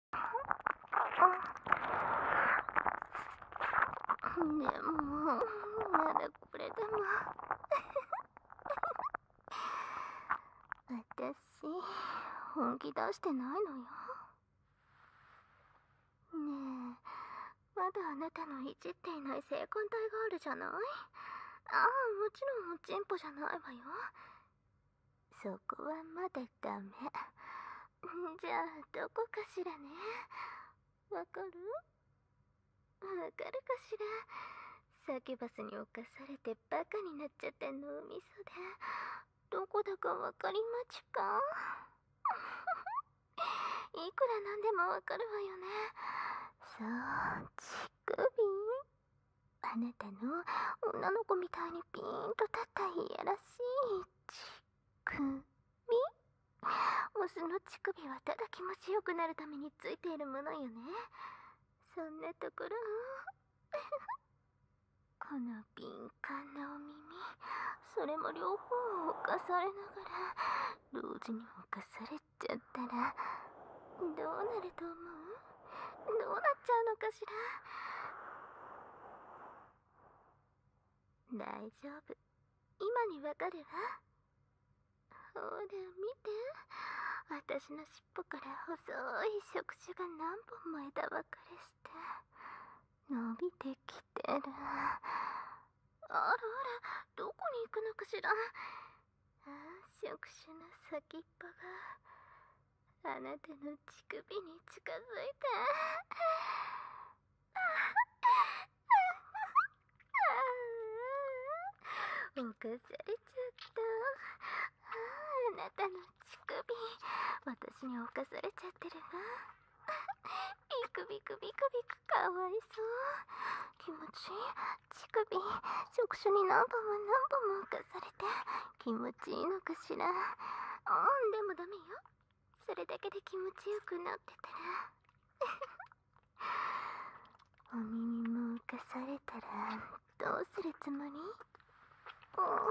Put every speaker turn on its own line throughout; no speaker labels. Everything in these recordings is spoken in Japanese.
でもまだこれでも私本気出してないのよねえまだあなたのいじっていない性感帯があるじゃないああもちろんチンポじゃないわよそこはまだダメじゃあどこかしらねわかるわかるかしらサキュバスに侵されてバカになっちゃった脳みそでどこだかわかりまちか いくらなんでもわかるわよねそう乳首あなたの女の子みたいにピーンと立ったいやららしいち、く、オスの乳首はただ気持ちよくなるためについているものよねそんなところこの敏感なお耳それも両方を犯されながら同時に犯されちゃったらどうなると思うどうなっちゃうのかしら大丈夫今にわかるわほら見て私の尻尾から細い触手が何本も枝分かれして伸びてきてるあらあらどこに行くのかしら触手の先っぽがあなたの乳首に近づいた。うんこされちゃったあ。なたの乳首、私に犯されちゃってるわ。ビクビクビクビクかわいそう。気持ちいい。乳首、触手に何本も何本も重されて気持ちいいのかしらうんでもダメよそれだけで気持ちよくなってたら お耳も浮かされたらどうするつもりあ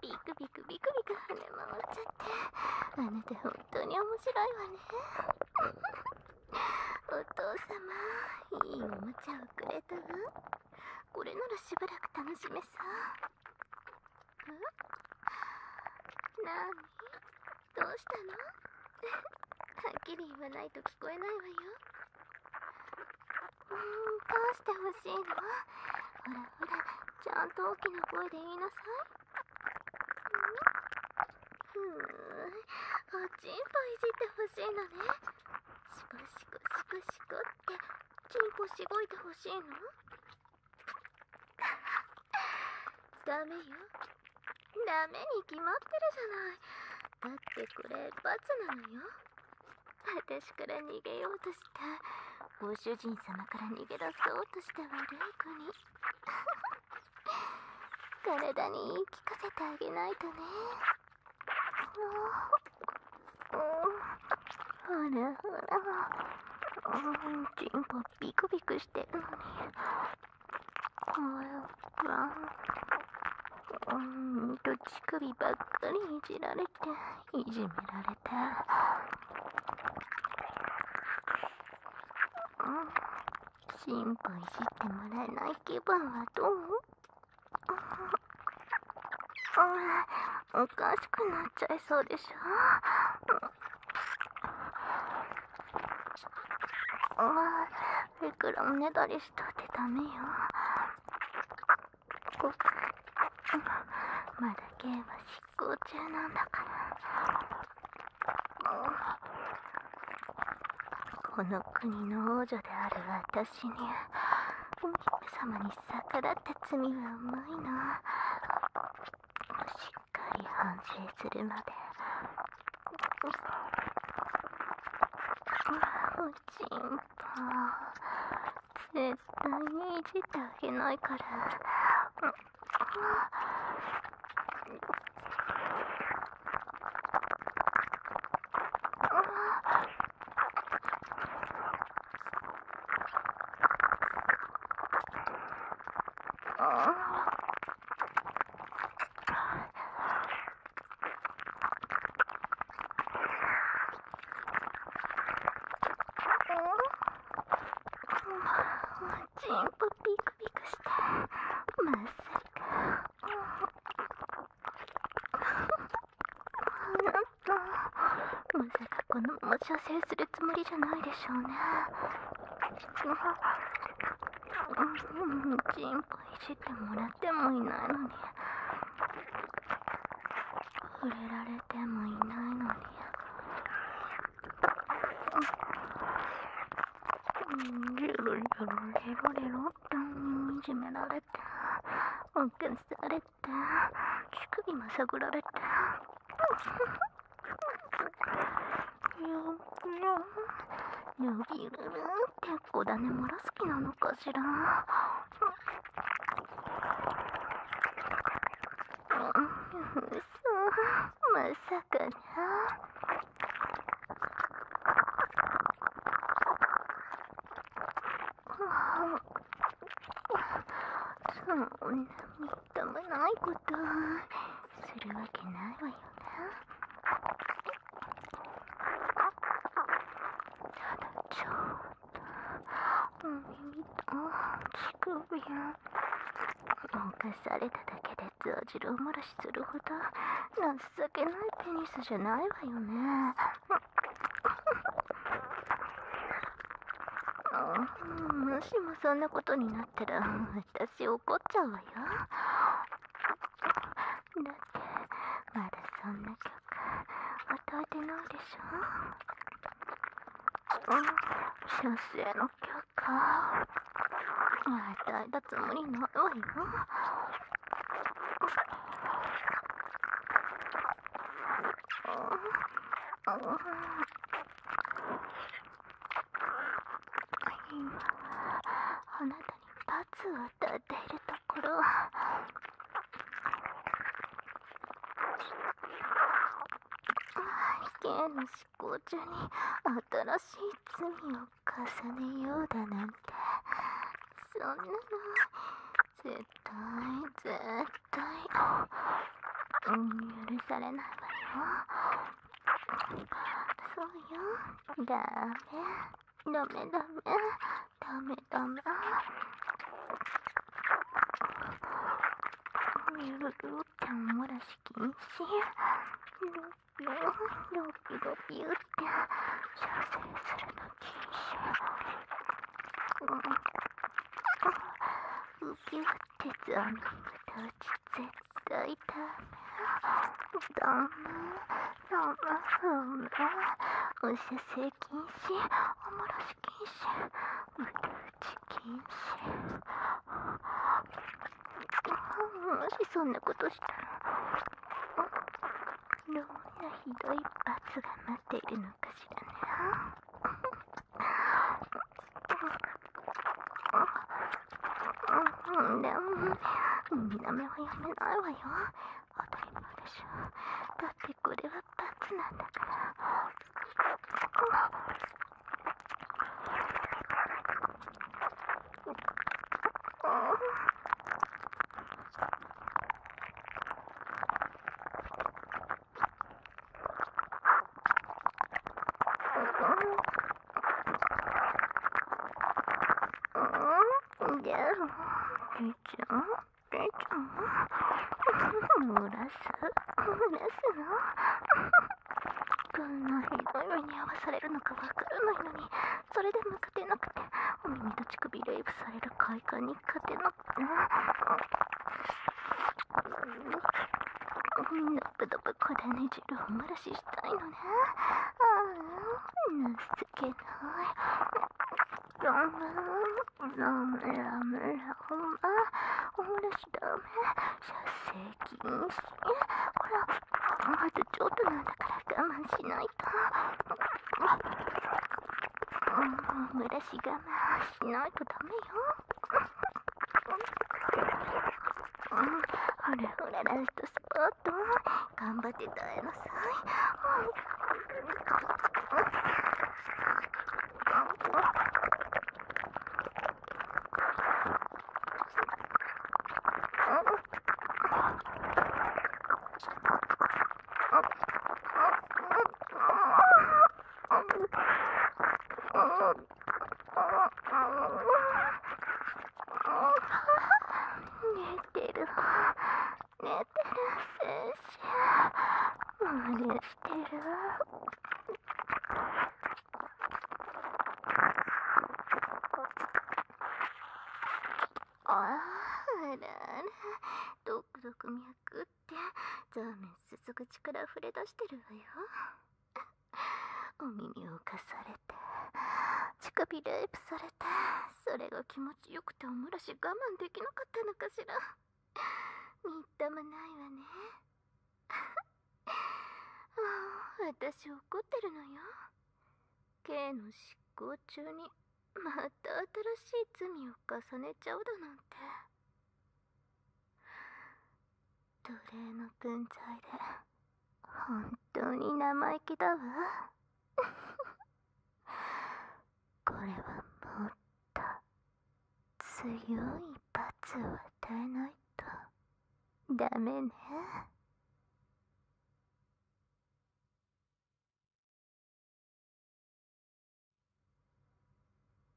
ビクビクビクビク跳ね回っちゃってあなた本当に面白いわねお父様いいおもちゃをくれたわこれならしばらく楽しめさなどうしたの はっきり言わないと聞こえないわようんどうしてほしいのほらほらちゃんと大きな声で言いなさいふーんおちんぽいじってほしいのね
シコシコシコシコって
ちんぽしごいてほしいのダメよダメに決まってるじゃないだってこれ罰なのよ私から逃げようとしたご主人様から逃げ出そうとした悪い子に 体に聞かせてあげないとねほらほらちんぽビクビクしてるのに。わうんと乳首ばっかりいじられていじめられてうん心配してもらえない気分はどう、うん、おかしくなっちゃいそうでしょ、あいくらおねだりしたってダメよまだゲーム執行中なんだからこの国の王女である私にお姫様に逆らった罪は重いなかり反省するまでおちんぽ絶対にいじってあげないからっ、ちん部ビクビクしてまっさりか。まさかこのまま射精するつもりじゃないでしょうね。の方がチンポいじってもらってもいないのに触れられてもいないのにジュルジュルレロレロっていじめられておっけされて乳首まさぐられて。ルビルルって子種もらす気なのかしら。うそ、まさかな。そんな見ダメな
いことす
るわけないわよなただちょっと耳と乳首を犯されただけでザジロ漏らしするほど情けないペニスじゃないわよねもしもそんなことになっ…なったら私怒っちゃうわよだってまだそんな曲歌えてないでしょ先生の曲与えたつもりないわよ
今あなたに
罰を与えているところ刑の執行中に新しい罪を重ねようだなんてそんなの絶対絶対、許されないわよ。
そうよダ
メダメダメダメダメゆるるっておもらし禁止
ロピロロピロピュって射精するの禁止
うんウキウってザミムタチゼダメ生不明お射精禁止おもらし禁止無理打ち禁止もしそんなことしたらどんなひどい罰が待っているのかしらねでも見な目はやめないわよ当たり前
でしょだってこれは罰なんだからうん。うんで、けいちゃん、けい
ちゃん、漏らす、漏らすな。こんなひどいのに合わされるのかわからないのに、それでも勝てなくて、お耳と乳首レイプされる快感に勝てなくて。ぬっぷどぷこだね汁を漏らししたいのねああ情けないラムラムラムラほんまお漏らしダメ射精禁止ほらあとちょっとなんだから我慢しないと、うん、漏らし我慢しないとダ
メよほ
らほらラストスポット頑張って耐えなさいあ、あ、ああらら…どどくく脈ってザーメンすすぐちか力溢れ出してるわよお耳を浮かされて乳首レイプされてそれが気持ちよくておもらし我慢できなかったのかしらみっともないわねあ私怒ってるのよ刑の執行中にまた新しい罪を重ねちゃうだなんて奴隷の分際で本当に生意気だわ これはもっと強い
罰を与えないとダメね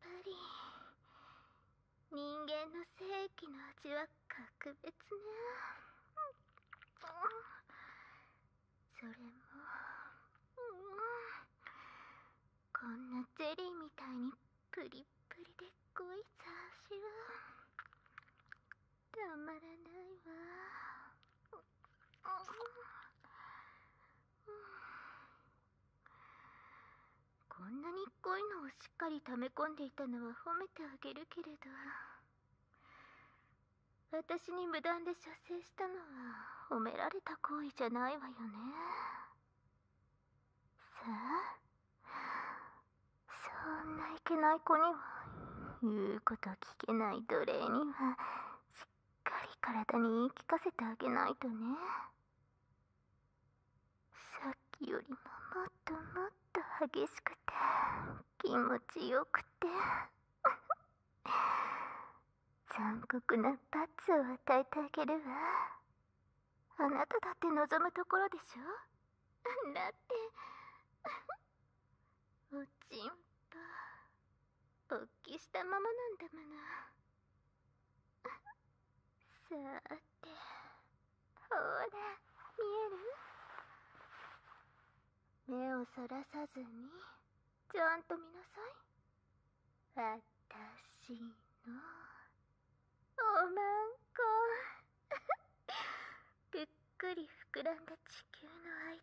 ぱり人間の正気の味は格別ねそれも、うん、こんなゼリーみたいにプリプリでごいさしはたまらないわ。んこんなに濃いのをしっかり溜め込んでいたのは褒めてあげるけれど私に無断で射精したのは褒められた行為じゃないわよねさあそんないけない子には言うこと聞けない奴隷にはしっかり体に言い聞かせてあげないとねさっきよりももっともっと激しくて気持ちよくて 残酷な罰を与えてあげるわあなただって望むところでしょだっておちんぽおっきしたままなんだものさーてほら見える目をそらさずにちゃんと見なさい私のおまんこぷ っくり膨らんだ地球の間を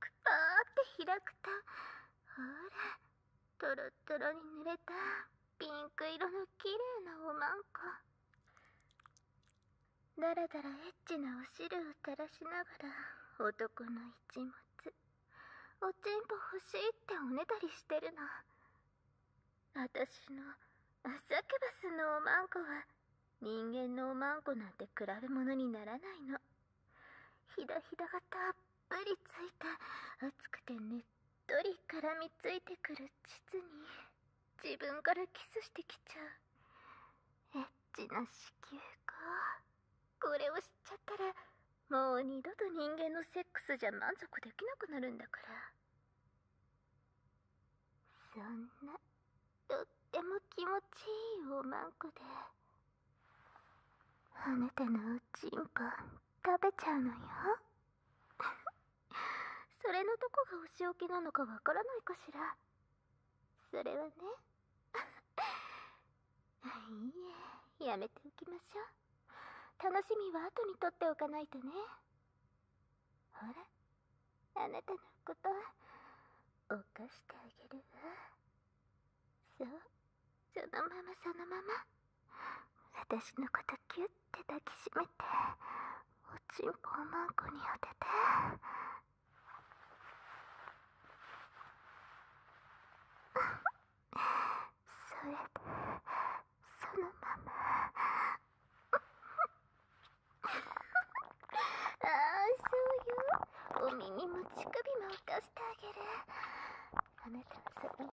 くぱーって開くとほらとろとろに濡れたピンク色の綺麗なおまんこだらだらエッチなお汁を垂らしながら男の一物おちんぽ欲しいっておねだりしてるのあたしのサケバスのおまんこは人間のおまんこなんて比べものにならないのひだひだがたっぷりついて熱くて熱っとり絡みついてくる膣に自分からキスしてきちゃうエッチな子宮かこれを知っちゃったらもう二度と人間のセックスじゃ満足できなくなるんだからそんなとっても気持ちいいおまんこであなたのおちんこ食べちゃうのよ それのどこがお仕置きなのかわからないかしらそれはね いいえやめておきましょう楽しみは後にとっておかないとねほらあなたのこと犯してあげるわそうそのままそのまま私のことキゅッて抱きしめておちん
ぽをマンコに当ててそれでそのままああそうよお耳も乳首も浮かしてあげるあなたはその